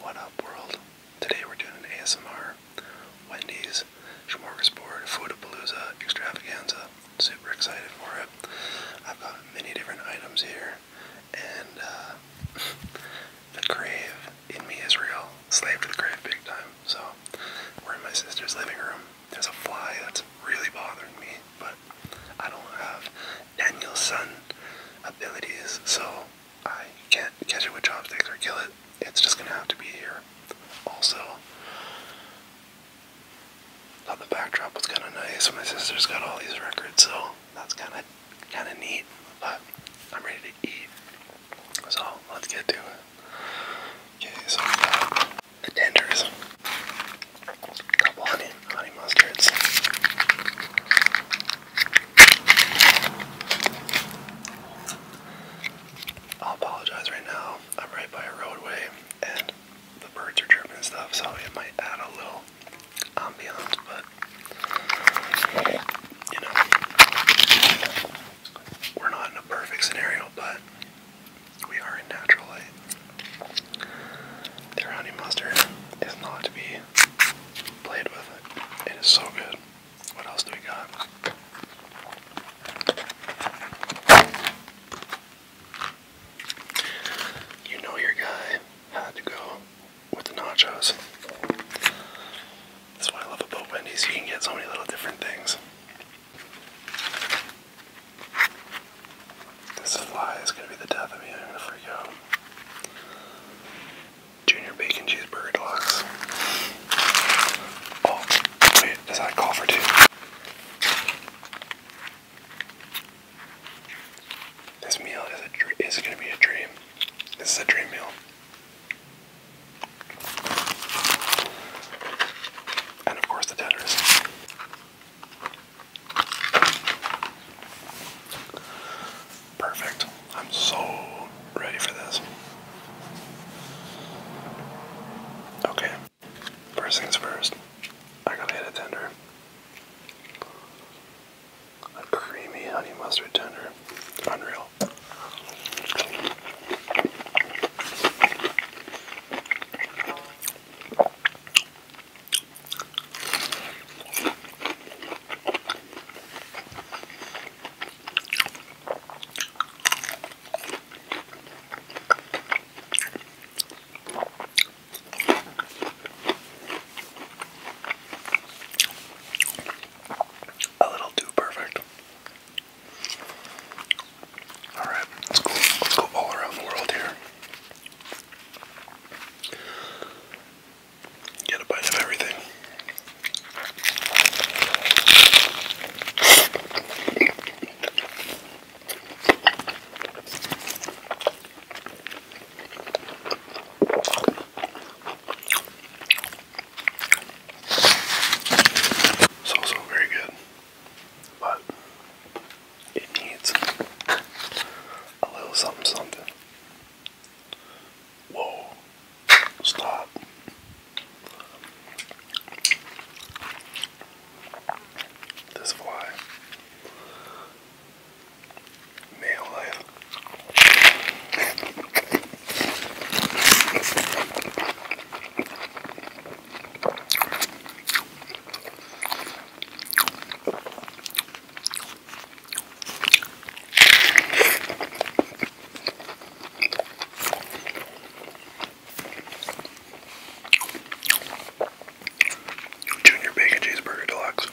What up, world? Today we're doing an ASMR Wendy's Smorgasbord Foodapalooza extravaganza. Super excited for it. I've got many different items here, and uh, the crave in me is real. Slave to the crave big time. So we're in my sister's living room. There's a fly that's really bothering me, but I don't have Daniel's son abilities, so I can't catch it with chopsticks or kill it. It's just gonna have to be here. Also, thought the backdrop was kind of nice. My sister's got all these records, so that's kind of kind of neat. But I'm ready to eat, so let's get to it. Okay, so the tenders couple honey, honey mustards. I'll apologize right now. I'm right by a roadway and the birds are chirping and stuff, so it might add a little ambiance, but you know, we're not in a perfect scenario, but we are in natural light. The honey mustard is not to be played with. It is so good. What else do we got? You know your guy had to go with the nachos. That's what I love about Wendy's. You can get so many little different things. This fly is going to be the death of me. I'm going to freak out. Junior bacon cheeseburger deluxe. Oh, wait, does that call for two? This meal is a is going to be a dream. This is a dream meal. And of course the tenders. Perfect. I'm so ready for this. Okay. First things first. I gotta hit a tender. A creamy honey mustard tender. Unreal. A little too perfect. Alright, let's go let's go all around the world here. Get a bite of everything. It's also very good but it needs a little something something. Whoa, stop. This fly. Male Junior Bacon Cheeseburger Deluxe.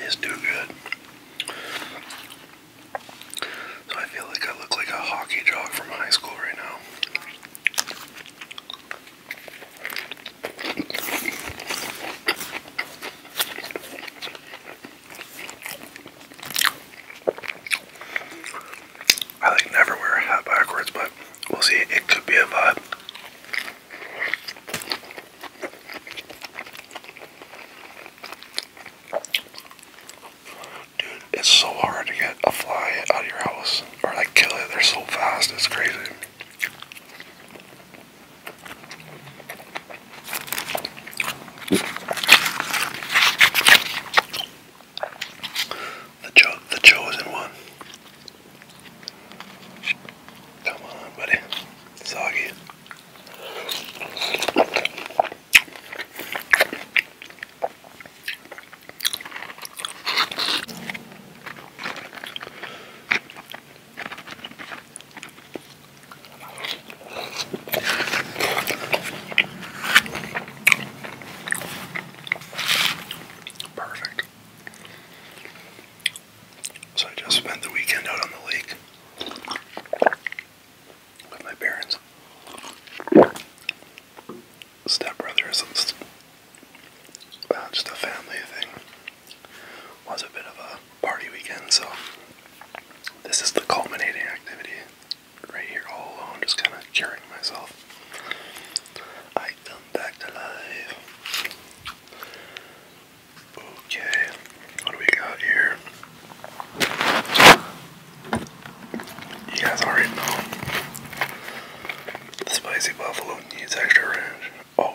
It's too good. So I feel like I look like a hockey jock from high school right now. I like never wear a hat backwards, but we'll see. It could be a vibe. Dude, it's so hard to get a fly out of your house or like kill it. They're so fast, it's crazy. The, cho the chosen one. Come on, buddy. Soggy. Perfect. So I just spent the weekend out on the lake with my parents. Stepbrothers, it's uh, just a family thing. Was a bit of a party weekend, so this is the culminating activity right here all alone, just kind of curing myself. I back to life. Okay, what do we got here? You guys already know. The spicy buffalo needs extra ranch. Oh.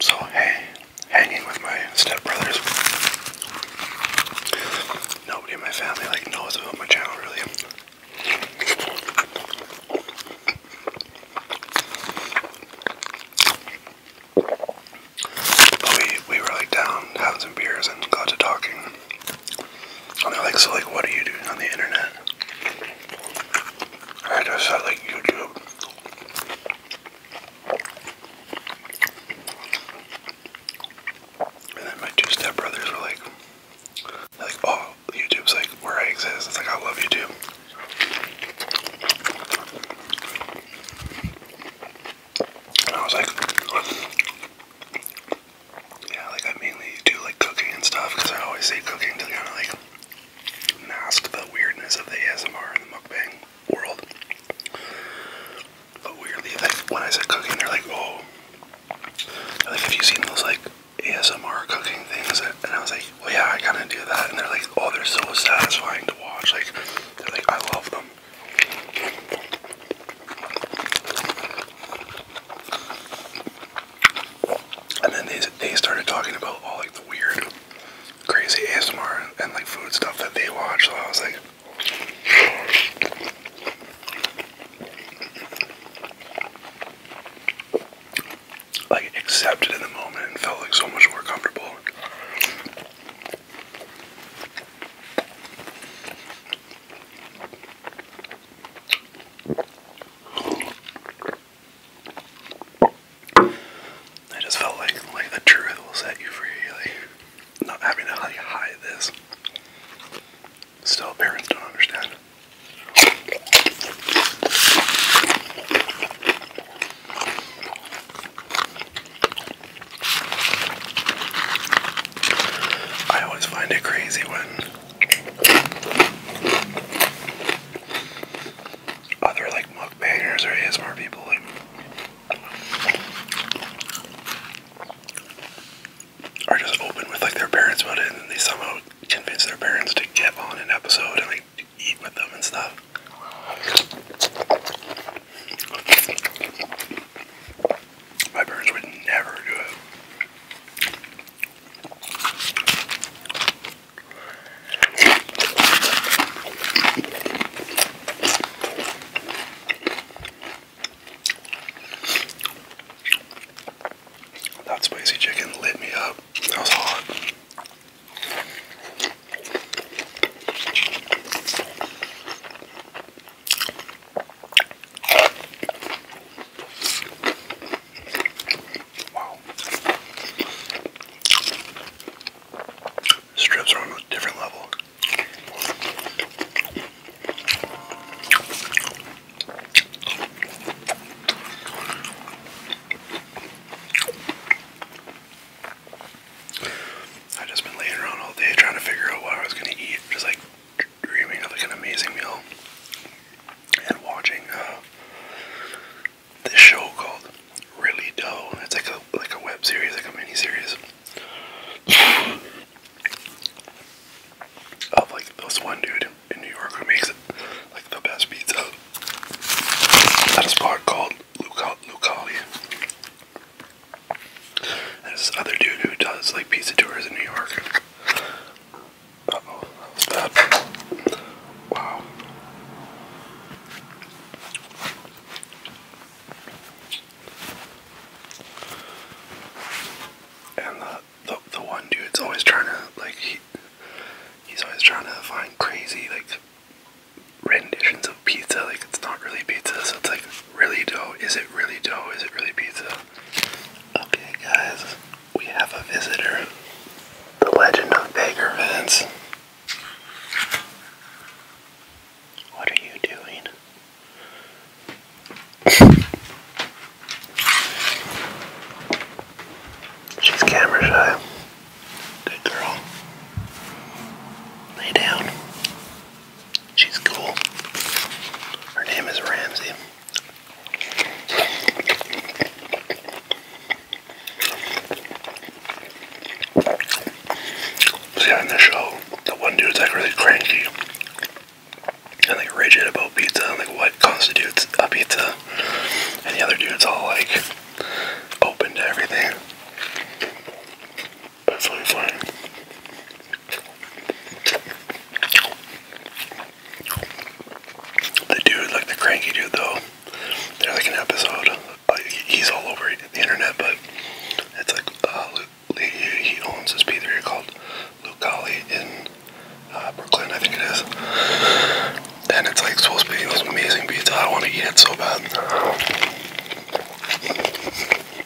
So hey, hanging with my stepbrothers. Nobody in my family like knows about my channel really. But we we were like down having some beers and got to talking. And they're like, so like what are you doing on the internet? I just like YouTube. And then my two stepbrothers were like, like, oh, YouTube's like where I exist. It's like, I love YouTube. And I was like, yeah, like I mainly do like cooking and stuff because I always say cooking to kind of like mask the weirdness of the ASMR and the mukbang world. But weirdly, like when I say cooking, they're like, "Oh, like have you seen those like ASMR cooking things?" And I was like, "Oh yeah, I kind of do that." And they're like, "Oh, they're so satisfying to watch." Like, they're like, "I love them." And then they they started talking about all like the weird, crazy ASMR and like food stuff that they watch. So I was like, like accepted in the moment and felt like so much more comfortable. I just felt like like the truth will set you free, like not having to hide this. Still parents don't understand. I always find it crazy when other like bangers or ASMR people like are just open with like their parents about it and then they somehow convince their parents to get on an episode and like eat with them and stuff. My parents would never do it. That spicy chicken lit me up. That was hot. Wow. Strips are on a different level. I just been laying around all day trying to figure out what I was gonna eat. Just like dreaming of like an amazing meal and watching uh, this show called Really Dough. It's like a like a web series, like a mini series of like this one dude in New York who makes like the best pizza That is a spot called Luca Lucali. There's this other dude who does like pizza tours in New York. oh, that was bad. Wow. And the, the the one dude's always trying to like he, he's always trying to find crazy like renditions of pizza. Like it's not really pizza, so it's like really dough. Is it really dough? Is it really pizza? Okay, guys, we have a visitor. The legend of Beggar Vince. What are you doing? She's camera shy. Good girl. Lay down. She's cool. Her name is Ramsey. See the show, the one dude's like really cranky and like rigid about pizza and like what constitutes a pizza, and the other dude's all like open to everything. That's really The dude, like the cranky dude, though, they're like an episode. he's all over the internet, but it's like uh, he owns this pizzeria called Lucali in uh, Brooklyn, I think it is. And it's like supposed to be this amazing pizza. I want to eat it so bad.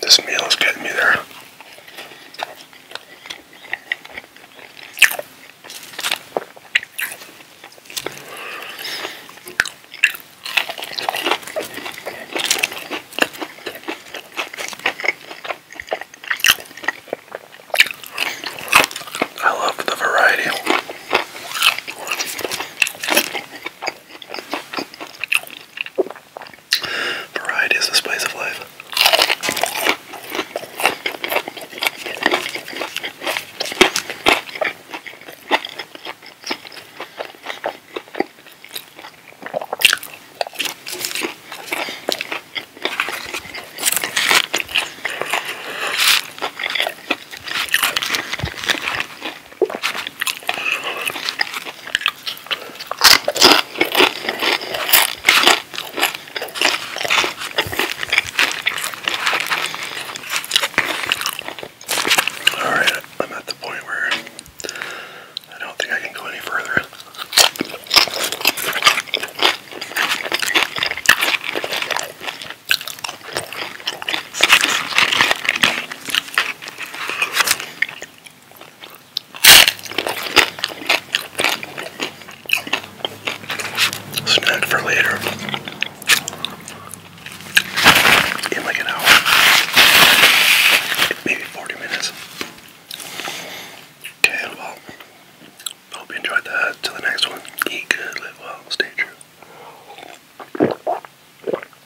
This meal is getting me there. I love the variety. Variety is the spice of life. All right, I'm at the point where I don't think I can go any further. Snack for later. In like an hour. Maybe 40 minutes. Okay, well, hope you enjoyed that. Till the next one, eat good, live well, stay true.